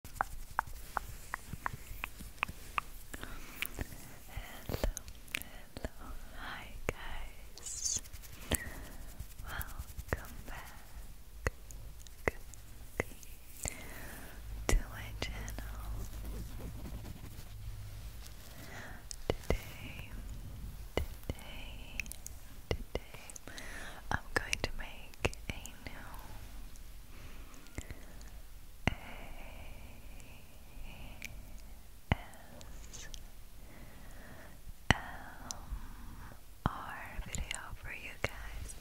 hello, hi guys, welcome back to my channel. Today, today, today, I'm going to make a new a S M R video for you guys.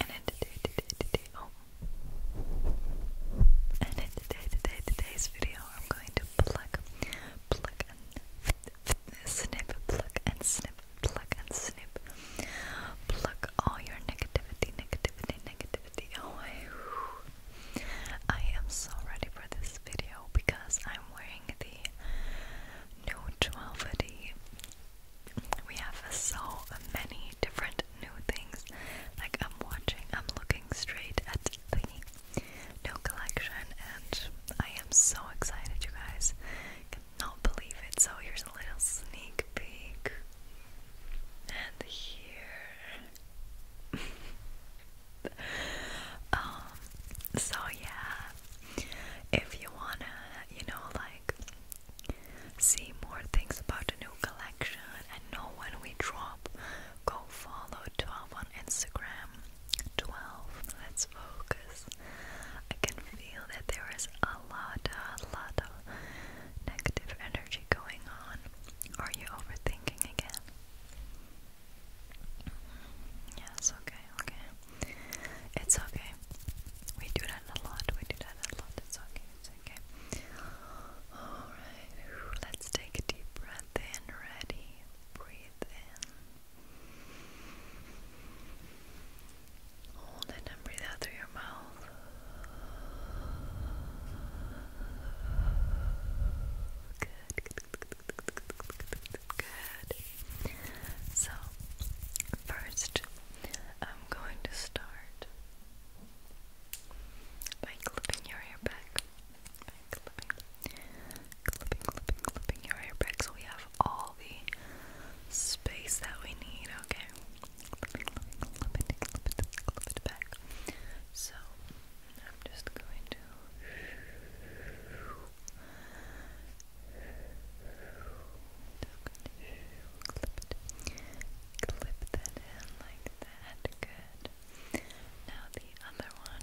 And in today, today, today, oh. And in today, today, today's video, I'm going to pluck, pluck, and snip, pluck and snip, pluck and snip. Pluck all your negativity, negativity, negativity away. I am so ready for this video because I'm wearing the new 12D. We have so many different new things. Like I'm watching, I'm looking straight at the new collection and I am so excited you guys. Not believe it. So here's a little sneak peek. And here. Um, so yeah, if you wanna, you know, like see more things about the new collection and know when we drop, go follow 12 on Instagram twelve. Let's focus. I can feel that there is a lot, a lot of negative energy going on. Are you overthinking again? Yes, okay, okay. It's okay. We do that a lot, we do that a lot. It's okay, it's okay. Alright, let's take a deep breath in. Ready? Breathe in. Hold it and breathe out through your mouth. Good. So, first, I'm going to start by clipping your hair back. By clipping, clipping, clipping, clipping your hair back so we have all the space that we need, okay? Clip it, back. So, I'm just going to. Clip, clip that in like that. Good. Now the other one.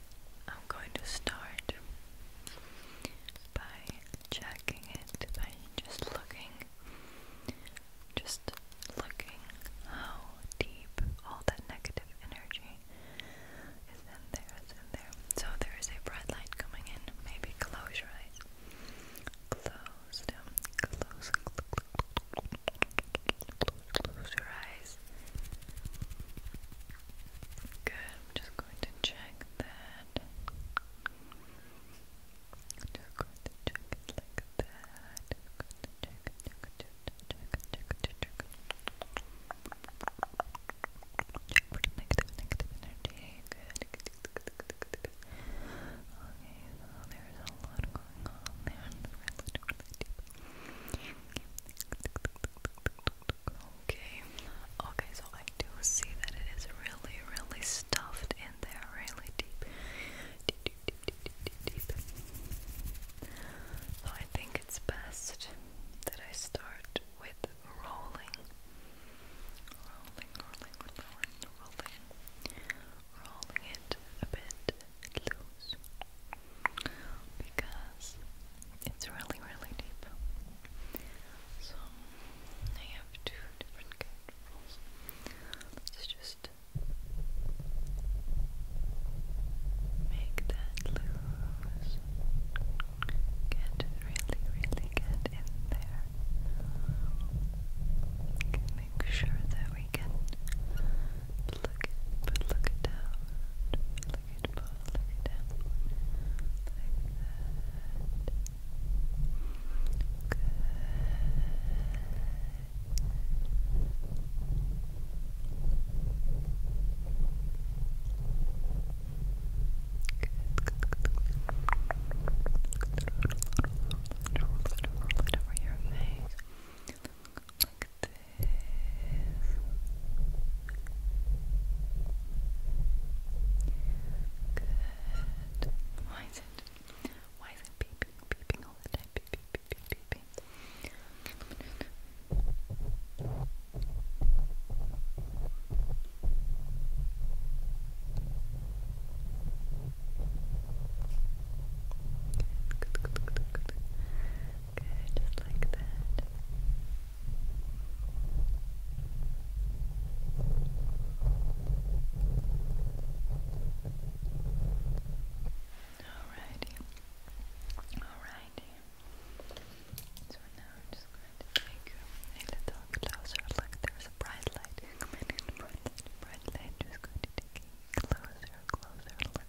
I'm going to start by checking it by just looking, just looking how deep all that negative energy is in there, is in there. So there is a bright light coming in. Maybe close your eyes. Close them. Close close your eyes. Good, I'm just going to check that. I'm just going to check like that. I'm going to check negative energy. Good, Okay, so there's a lot going on there. Okay, okay, so I do see that it is really, really stuffed in there, really deep. So I think it's best that I start with rolling. Rolling, rolling, rolling, rolling. Rolling it a bit loose because it's really, really deep. So I have two different controls. Let's just make that loose. Get really, really get in there. Make sure that we can look but look it down. Look it down. Look it down. Like that. Good. Good. Good. Good. Roll it over your face. Like Good. Why is it? Why is it beeping, beeping all the time? Beep, beep, beep, beep, beep, beep. Good, just like that. Alrighty. Alrighty. So now I'm just going to take you a little closer. Look, there's a bright light. Come in, bright light, Just going to take closer, closer look.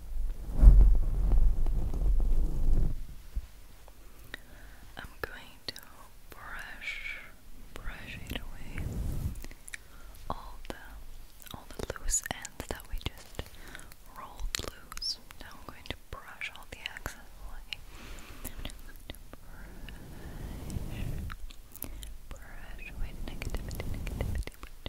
I'm going to brush, brush away. All the, all the loose ends that we just rolled loose. Now I'm going to brush all the excess away. brush, away negativity,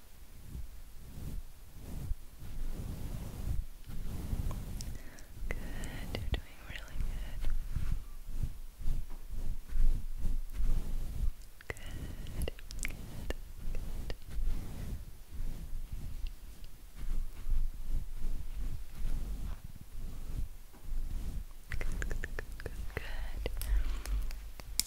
Good, you're doing really good. Good, good, good. Good, good,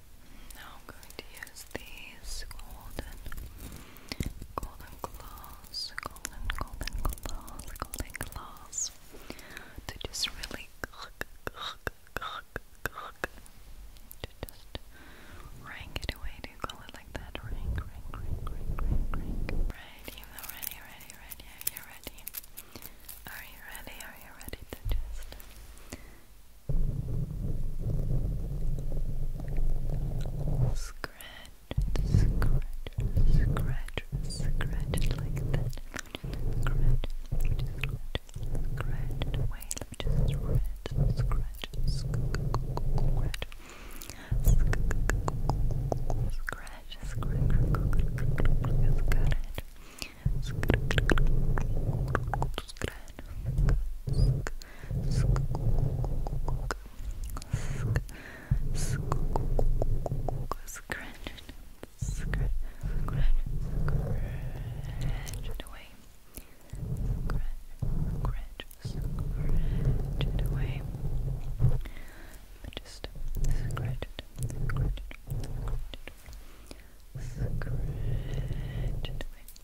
now going to use these golden, golden claws, golden, golden claws, golden claws to just really to just rank it away. Do you call it like that? Rank, rank, rank, rank, rank, rank. Ready, ready, ready, ready. Are you ready? Are you ready? Are you ready to just Scratch, scratch, scratch, scratch it like that. Scratch, scratch, scratch away. Just scratch, scratch, scratch. Scratch, scratch, scratch, scratch. Scratch, Scratch it, scratch, scratch, scratch Scratch, it away. Just scratch it, scratch it away.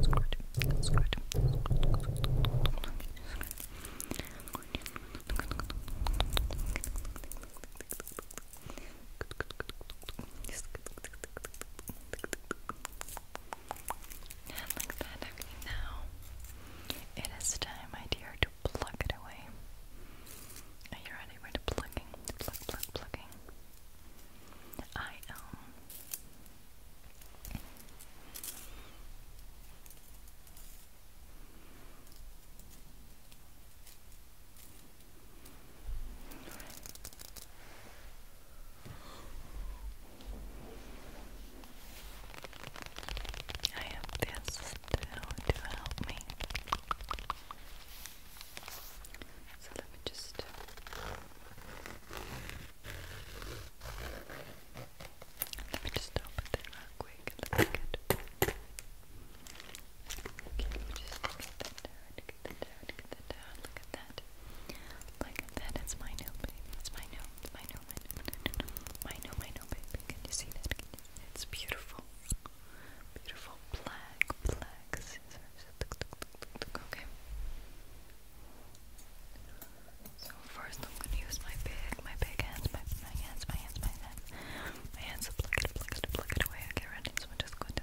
squirt, squirt, and like that, now. It is time, my dear, to plug it away. Are you ready? We're to plugging, plugging. I am I have this to, to help me. So let me just. Let me just open it real quick and let that down, get that down, get that look at that. Look at that, it's my new baby, it's my new, my new, my new, my new, my new baby. Can you see that? It's beautiful. Beautiful black, black Okay. So first I'm gonna use my big, my big hands, my, my hands, my hands, my hands. My hands to plug it, plug it, plug it away. Okay, ready? So I'm just going to...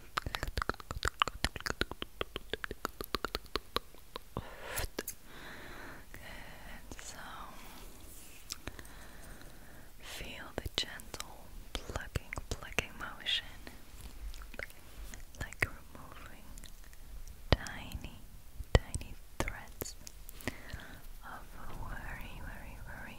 So feel the gentle plucking, plucking motion, like removing tiny, tiny threads of worry, worry, worry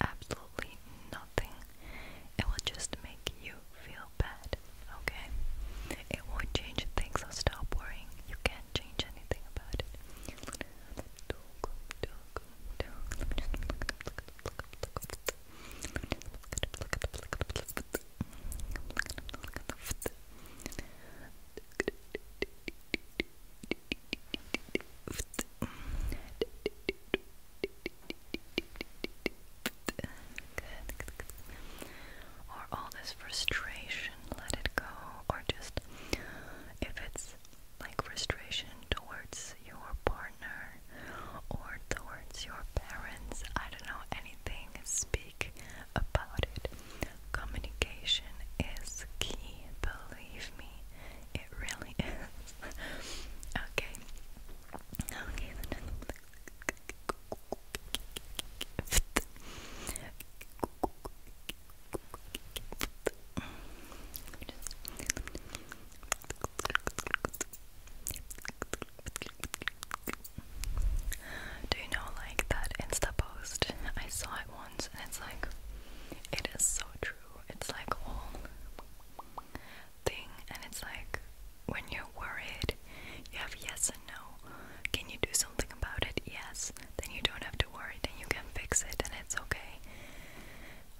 absolutely nothing. It will just make you feel bad, okay? It won't change things, so stop worrying. You can't change anything about it. Or all this frustration, let it go. Or just if it's like frustration towards your partner or towards your parents, I don't know anything, speak about it. Communication is key, believe me. It really is. okay. Okay, then. Do you know like that Insta post? I saw it once and it's like it is so true. It's like a whole thing, and it's like when you're worried, you have yes and no. Can you do something about it? Yes. Then you don't have to worry. Then you can fix it, and it's okay.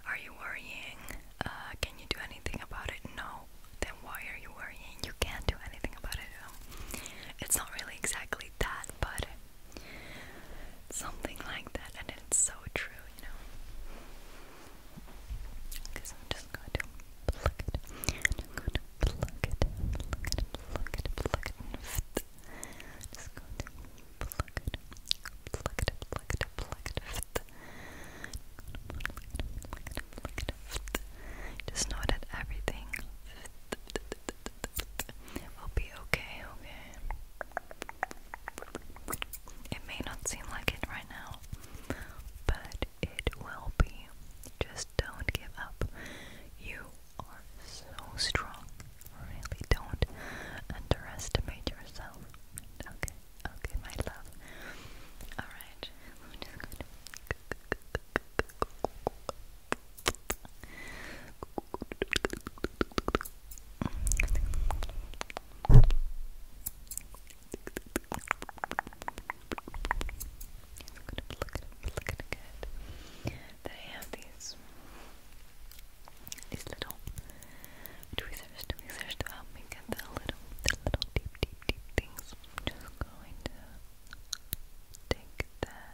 Are you worrying? Uh, can you do anything about it? No. Then why are you worrying? You can't do anything about it. It's not really exactly that, but Something like that, and it's so true, you know. just going to pluck it. i to pluck it, pluck it, pluck it, pluck it. Just going to pluck it, pluck it, pluck it, pluck it. Pluck it, pluck Just know that everything. We'll be okay, okay. It may not seem like it right now, but it will be. Just don't give up. You are so strong. Really don't underestimate yourself. Okay, okay, my love. Alright, look at it good. Then I have these these little tweezers, tweezers to help me get the little the little deep deep deep things. I'm just going to take that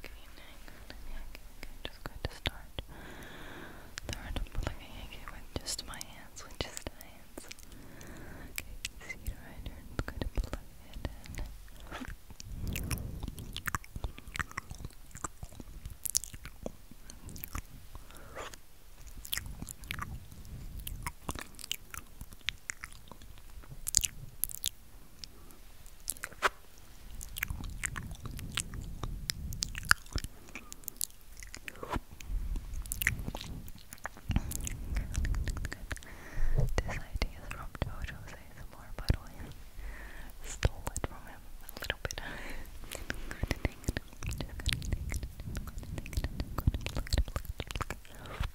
Okay, next, I'm just going to start the random plugging with just my hands, with just hands. Okay, see I'm going to plug it in. This idea is from JoJo's ASMR, by the way. Stole it from him a little bit. I'm gonna take it. I'm just gonna take it. I'm gonna take it. I'm gonna look at it. Look at it.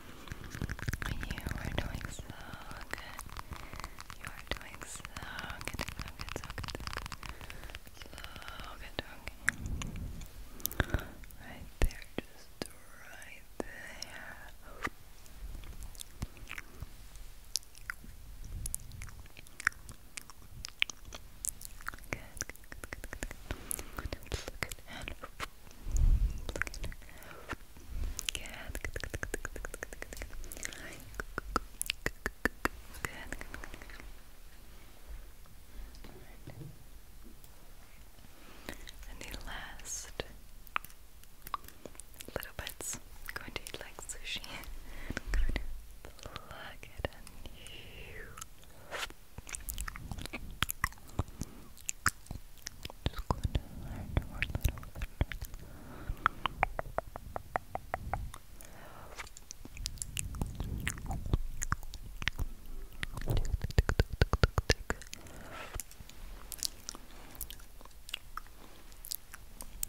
You are doing so good. You are doing so good. So good, so good, so good. Right there, just right there. Good, good, good, good, I'm going and pluck the last little bits going to eat like sushi. Just going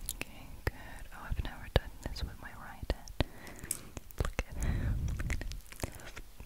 Okay, good. Oh, I've never done this with my right hand.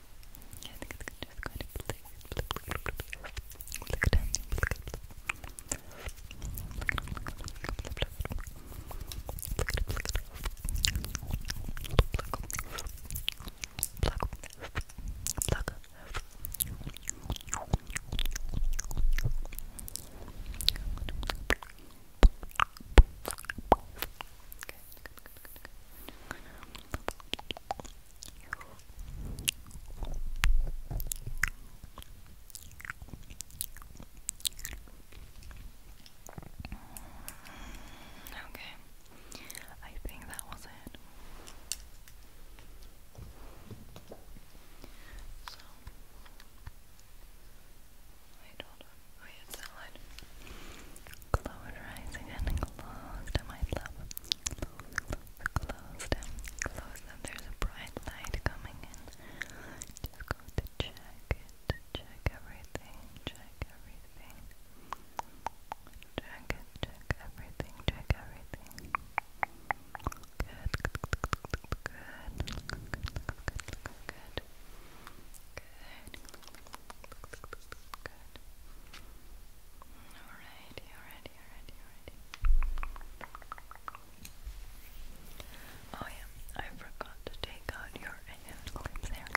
I think it's just going to blink, blink, blink, blink, blink, blink, Okay, good, good, good, good. Okay, I think that was it. So, wait, hold on. Oh, yeah, it's that eyes again close to my love close them, close them. There's a bright light coming in. Just go to check it, check everything, check everything. Check it, check everything, check everything. Good, good, good, good, good, good. Alright, you're Oh yeah, I forgot to take out your hand clips there, Good,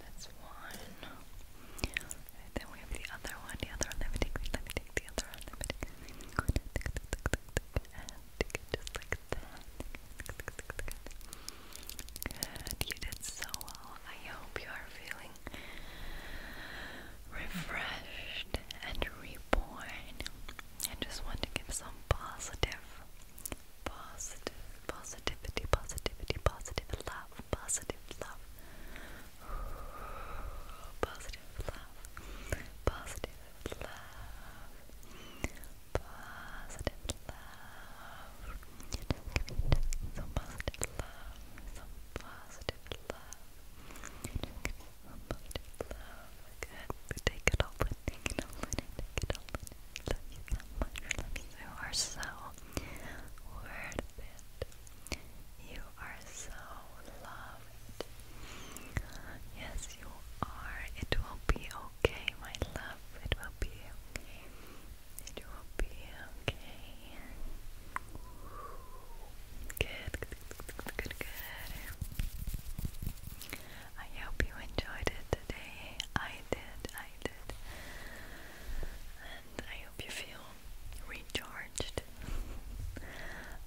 that's one. then we have the other one, the other one. Let me take, let me take the other one. Let me take just like that. Good, you did so well. I hope you are feeling refreshed and reborn. I just want to give some positive, positive, positivity, positivity, positive love, positive love, positive love, positive love, positive love. Some positive love, some positive love. Some positive love. Good. Take it all take it all take it all You are so worth it. You are so loved. Yes, you are. It will be okay, my love. It will be okay. It will be okay. Good, good, good, good. I hope you enjoyed it today. I did, I did. And I hope you feel recharged.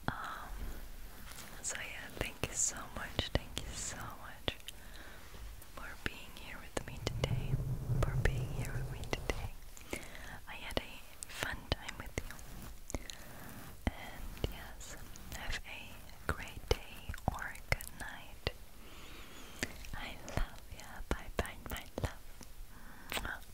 um, so yeah, thank you so much, thank you so much for being here with me today, for being here with me today. I had a fun time with you. And yes, have a great day or a good night. I love you. Bye bye, my love.